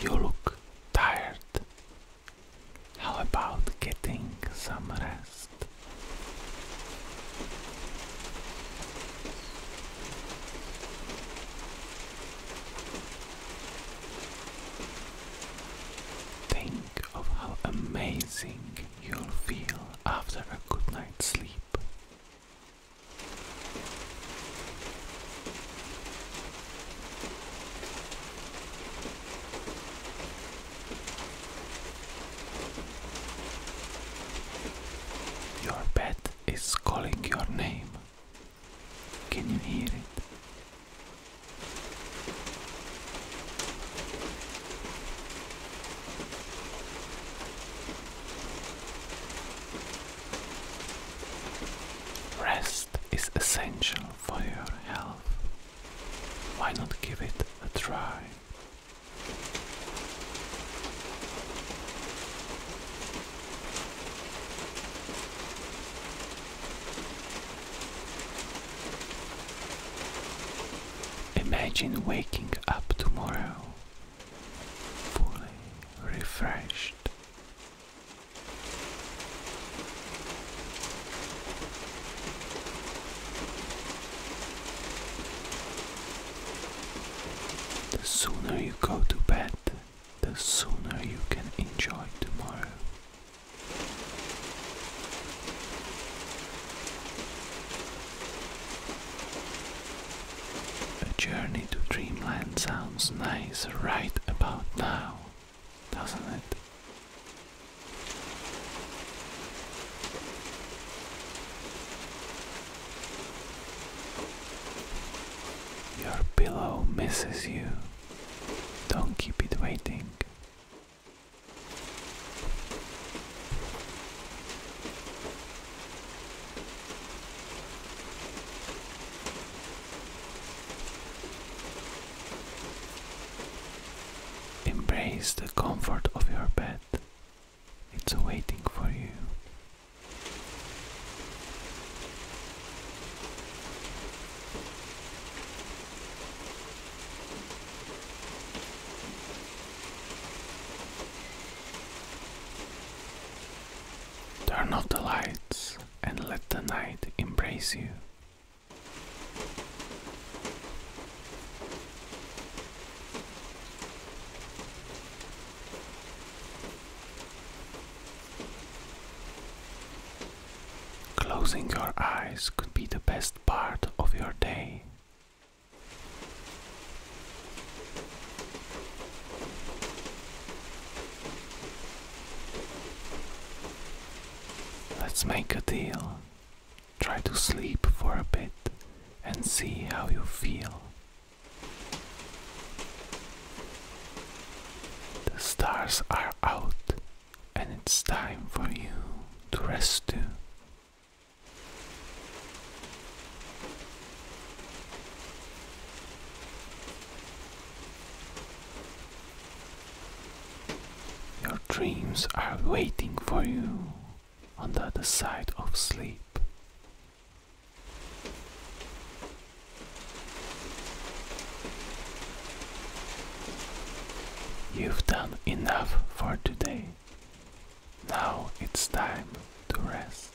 You look tired. How about getting some rest? Think of how amazing you'll feel after a good night's sleep. Your bed it is calling your name. Can you hear it? Rest is essential for your health. Why not give it a try? Imagine waking up tomorrow fully refreshed. The sooner you go to bed, the sooner you can enjoy tomorrow. A journey to dreamland sounds nice right about now, doesn't it? Your pillow misses you. Don't keep it waiting. Embrace the comfort of your bed. It's waiting for you. Turn off the lights and let the night embrace you. Closing your eyes could be the best part of your day. Let's make a deal. Try to sleep for a bit and see how you feel. The stars are out, and it's time for you to rest too. Your dreams are waiting for you on the other side of sleep. You've done enough for today. Now it's time to rest.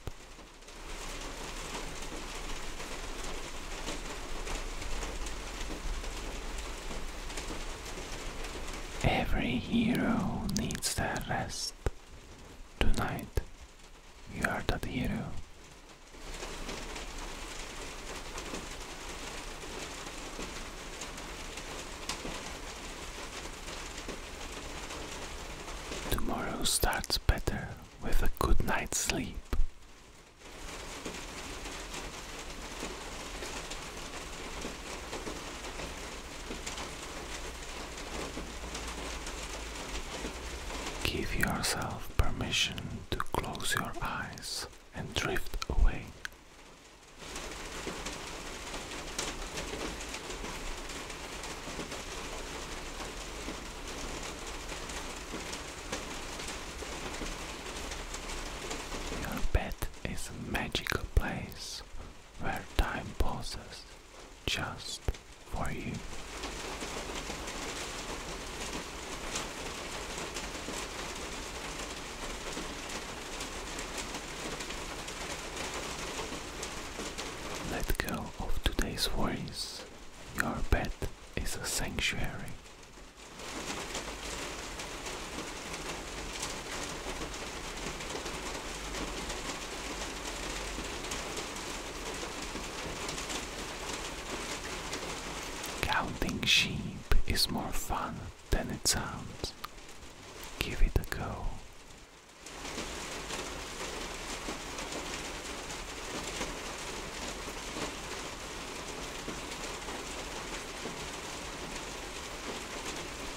Every hero needs to rest. Tonight, you are that hero. Tomorrow starts better with a good night's sleep. Give yourself permission to close your eyes and drift away. Your bed is a magical place where time pauses just for you. Let go of today's worries. Your bed is a sanctuary. Counting sheep is more fun than it sounds. Give it a go.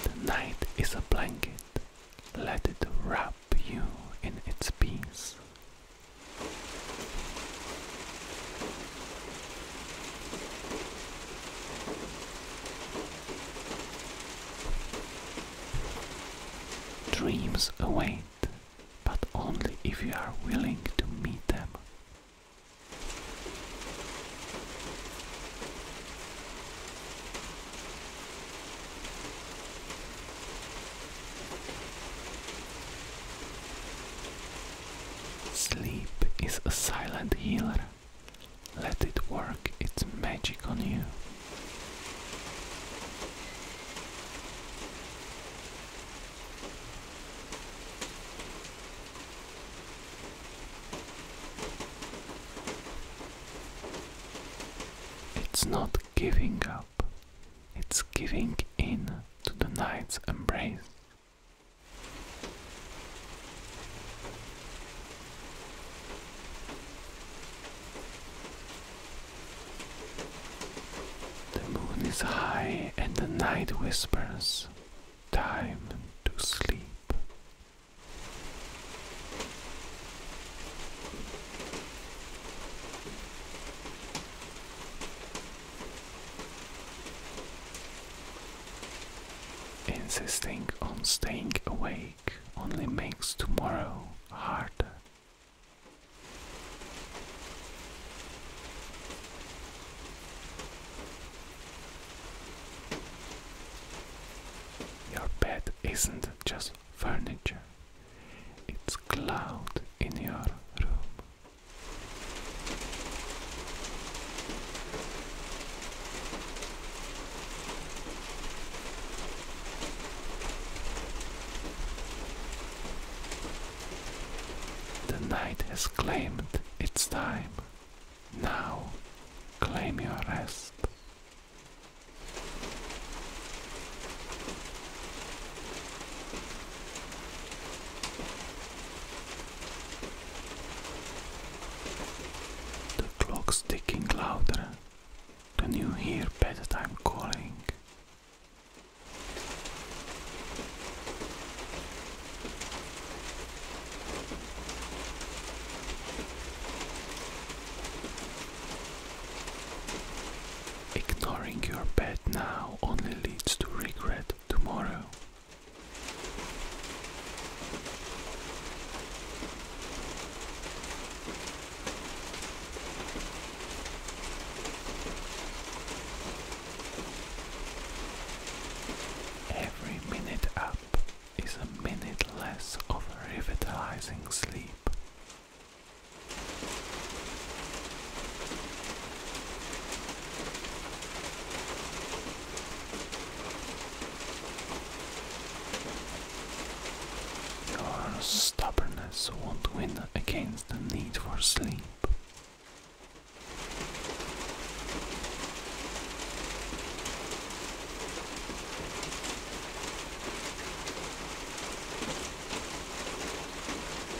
The night is a blanket let it wrap you in its peace. Dreams await, but only if you are willing to meet them. Sleep is a silent healer. Let it work its magic on you. It's not giving up, it's giving in to the night's embrace. The moon is high and the night whispers, Time to sleep. Insisting on staying awake only makes tomorrow harder. Your bed isn't just furniture. It's cloud in your room. The night has claimed its time. Now claim your rest. The clock's ticking louder. Can you hear I'm calling? Ignoring your bed now only leads to regret tomorrow. Every minute up is a minute less of revitalizing sleep. Your stubbornness won't win against the need for sleep.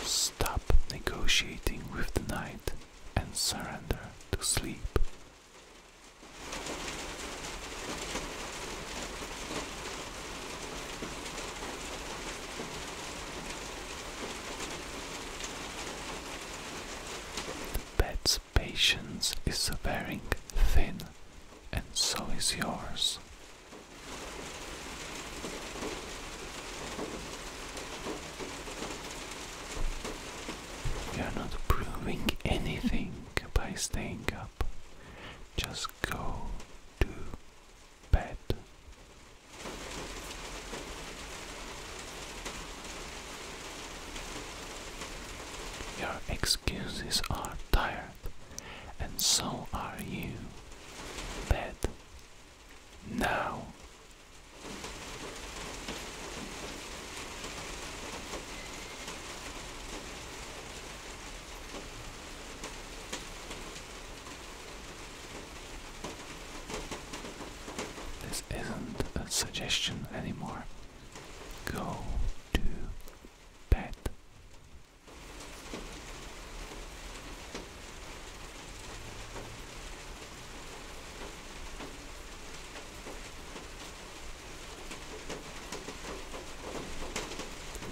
Stop negotiating with the night and surrender to sleep. The patience is wearing thin and so is yours. You're not proving anything by staying up. Just go to bed. Your excuses are tired and so are you Bed. now. This isn't a suggestion anymore. Go to bed.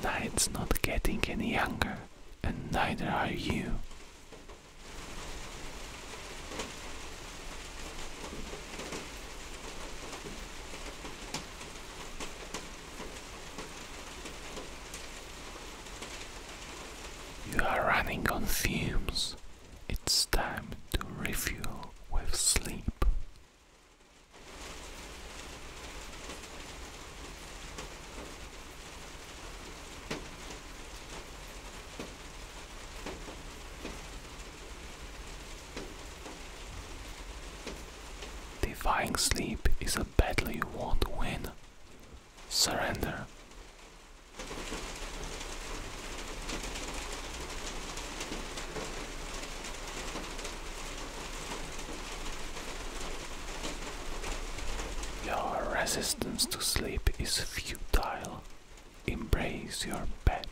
Night's not getting any younger, and neither are you. You are running on fumes. It's time to refuel with sleep. Defying sleep is a battle you won't win. Surrender. Your resistance to sleep is futile. Embrace your bed.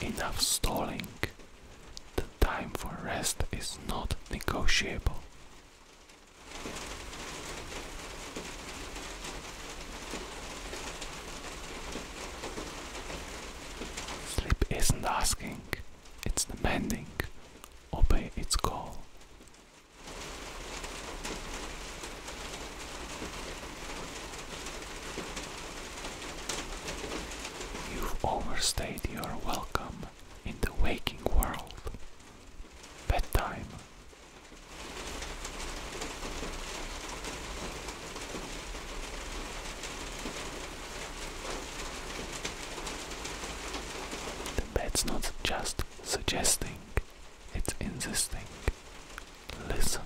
Enough stalling. The time for rest is not negotiable. Sleep isn't asking, it's demanding obey its call. You've overstayed your welcome in the waking world. Bedtime. The bed's not just suggesting, it's insisting. Listen.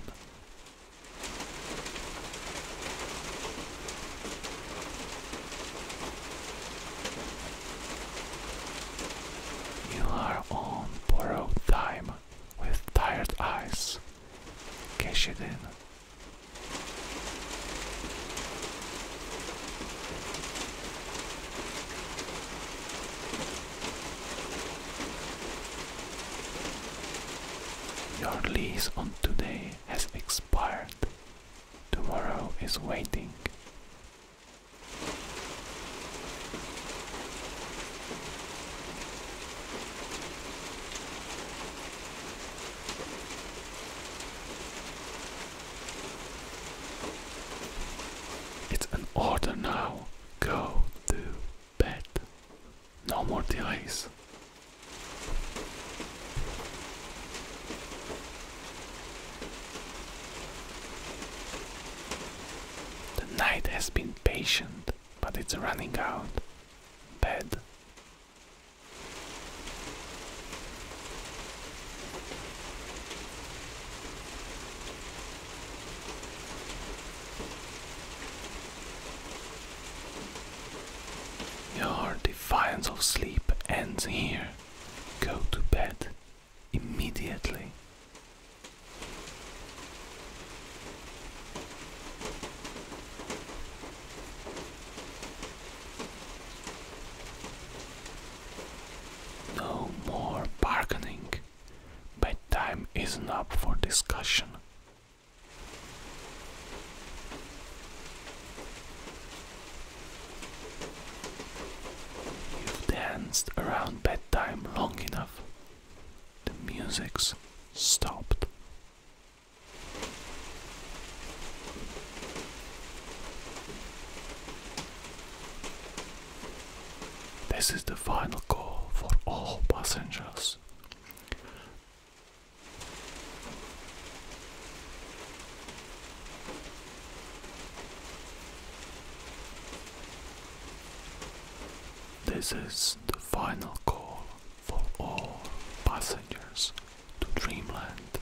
You are on borrowed time with tired eyes. Cash it in your lease on today has expired. Tomorrow is waiting. It's an order now. Go to bed. No more delays. The night has been patient, but it's running out. Bed. Your defiance of sleep ends here. Go to bed immediately. No more bargaining. Bedtime isn't up for discussion. You've danced around bedtime long enough. The music's stopped. This is the final call for all passengers. This is the final call for all passengers to Dreamland.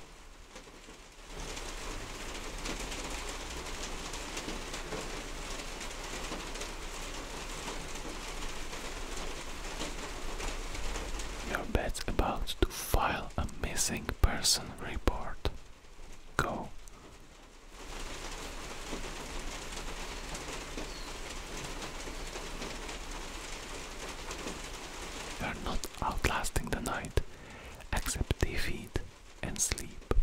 Your bed's about to file a missing person report. Go. You are not outlasting the night, except defeat and sleep.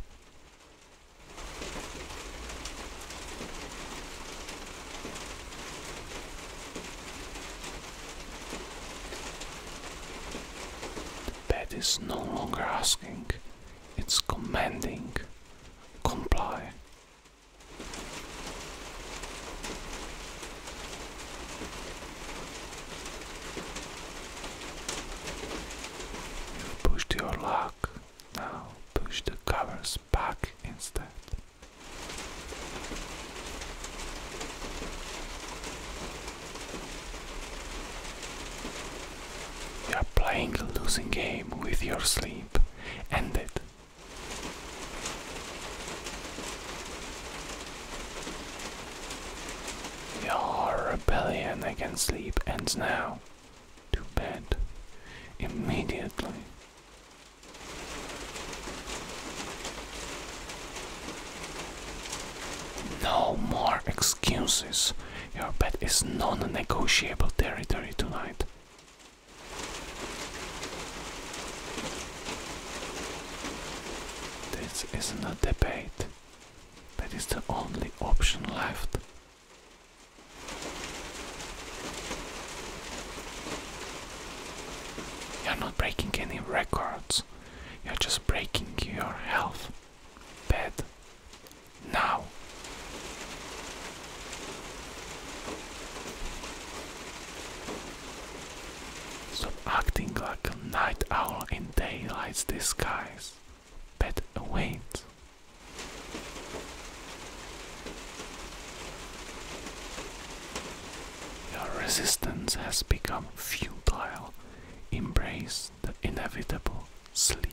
The bed is no longer asking, it's commanding. Comply you pushed your luck. Now push the covers back instead. You are playing a losing game with your sleep. End it. Your rebellion against sleep ends now. To bed. Immediately. No more excuses. Your bed is non negotiable territory tonight. This isn't a debate, that is the only option left. You're not breaking any records, you're just breaking your health. Bed. Now. Stop acting like a night owl in daylight's disguise. But wait. Your resistance has become futile. Embrace the inevitable sleep.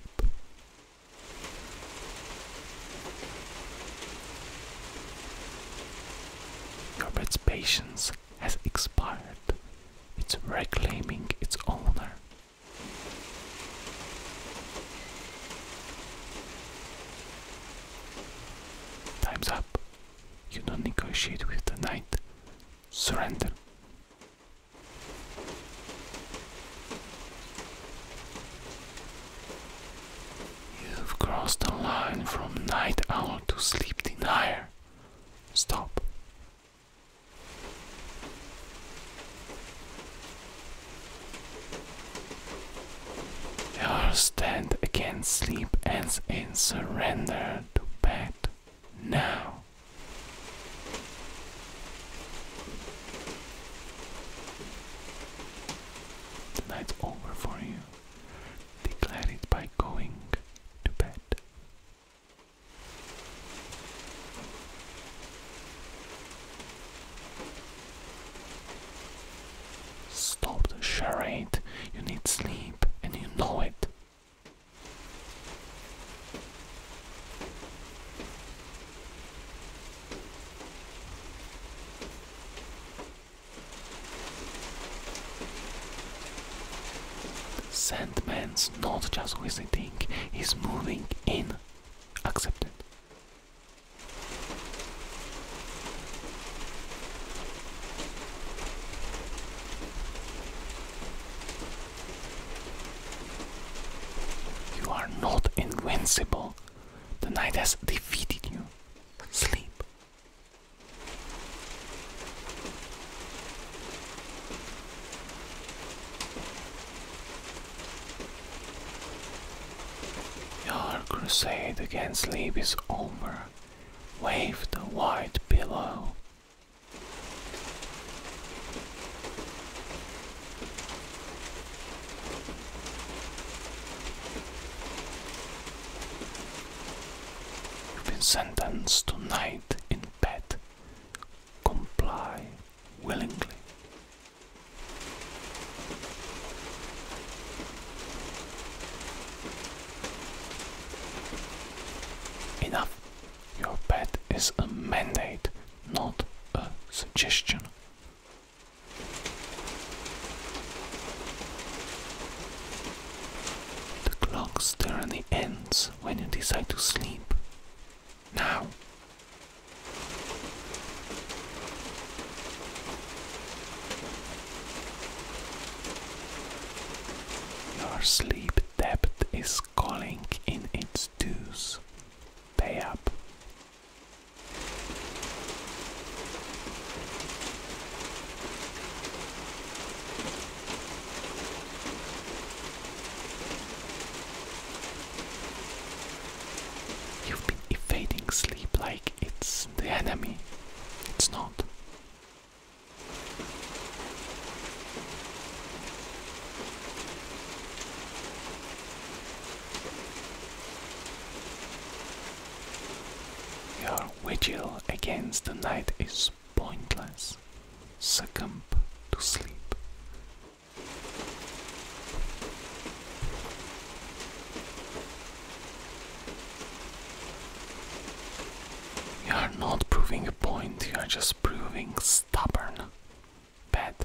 Your patience has expired. It's reclaiming its owner. Time's up. You don't negotiate with the knight. Surrender. You've crossed the line from night owl to sleep denier. Stop. Your stand against sleep ends in surrender to bed now. The night's over for you declare it by going to bed. Stop the charade. You need sleep and you know it. Sandman's not just visiting, he's moving in. Accepted. You are not invincible. The night has defeated you. Sleep. Your crusade against sleep is over. Wave the white pillow. You've been sentenced to night in bed. Comply willingly. Enough. Your bed is a mandate, not a suggestion. The clock's tyranny ends when you decide to sleep. Now. Your sleep debt is calling in its dues. Pay up. You've been evading sleep like it's the enemy. It's not. Your vigil against the night is pointless. Succumb to sleep. You are not proving a point, you are just proving stubborn. Bad.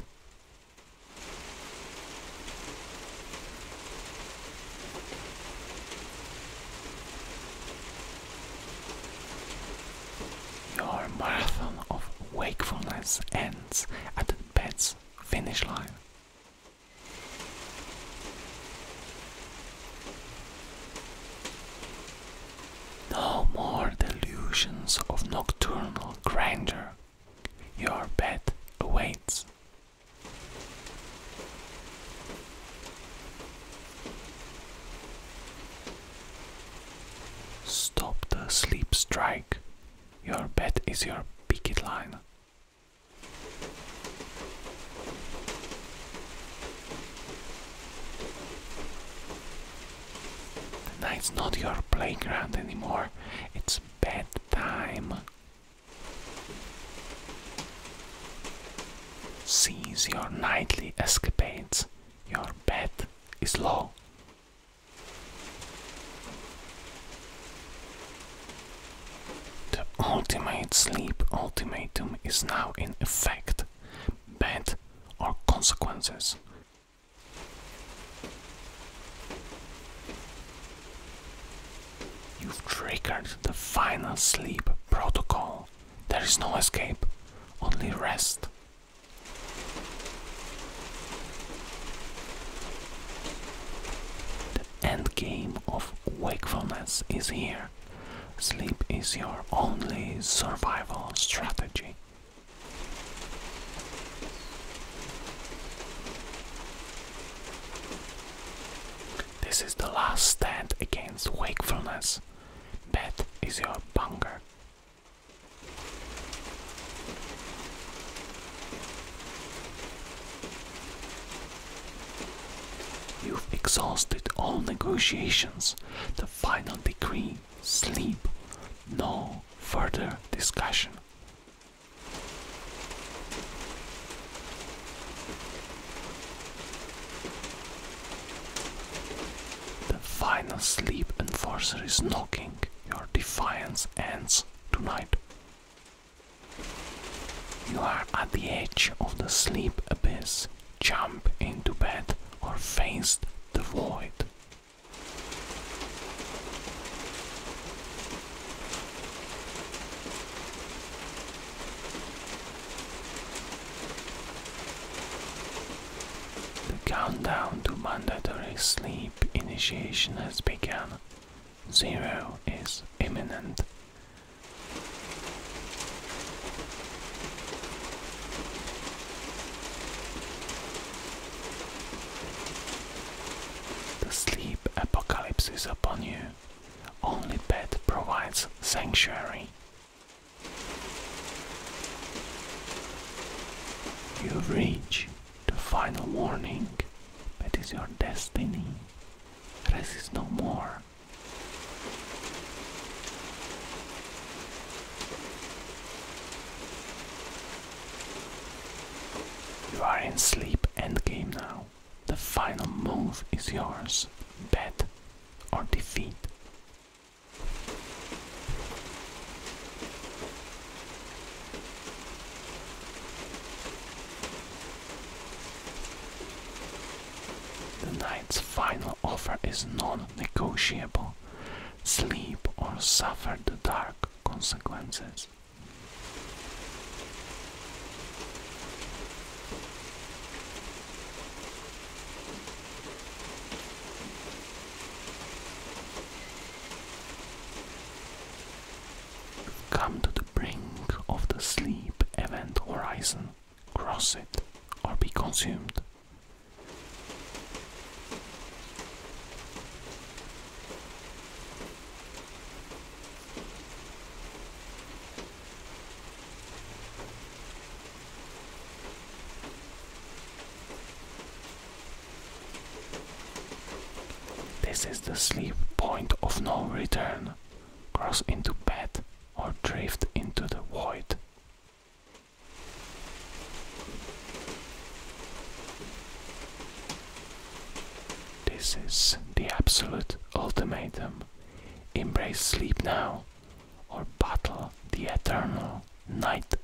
Your marathon of wakefulness ends at the bed's finish line. No more delusions of nocturnal grandeur. Your bed awaits Stop the sleep strike. Your bed is your picket line. Tonight's not your playground anymore. It's bedtime. Cease your nightly escapades. Your bed is law. The ultimate sleep ultimatum is now in effect. Bed or consequences. You've triggered the final sleep protocol. There is no escape, only rest. The end game of wakefulness is here. Sleep is your only survival strategy. This is the last stand against wakefulness. That is your bunker. You've exhausted all negotiations. The final decree sleep. No further discussion. The final sleep enforcer is knocking. Your defiance ends tonight. You are at the edge of the sleep abyss. Jump into bed or face the void. The countdown to mandatory sleep initiation has begun. Zero is imminent. The sleep apocalypse is upon you. Only bed provides sanctuary. You reach the final warning. That is your destiny. There is no more. You are in sleep endgame now. The final move is yours. Bet or defeat. The knight's final offer is non negotiable. Sleep or suffer the dark consequences. Come to the brink of the sleep event horizon, cross it, or be consumed. This is the sleep point of no return. Cross into bed or drift into the void. This is the absolute ultimatum. Embrace sleep now, or battle the eternal night.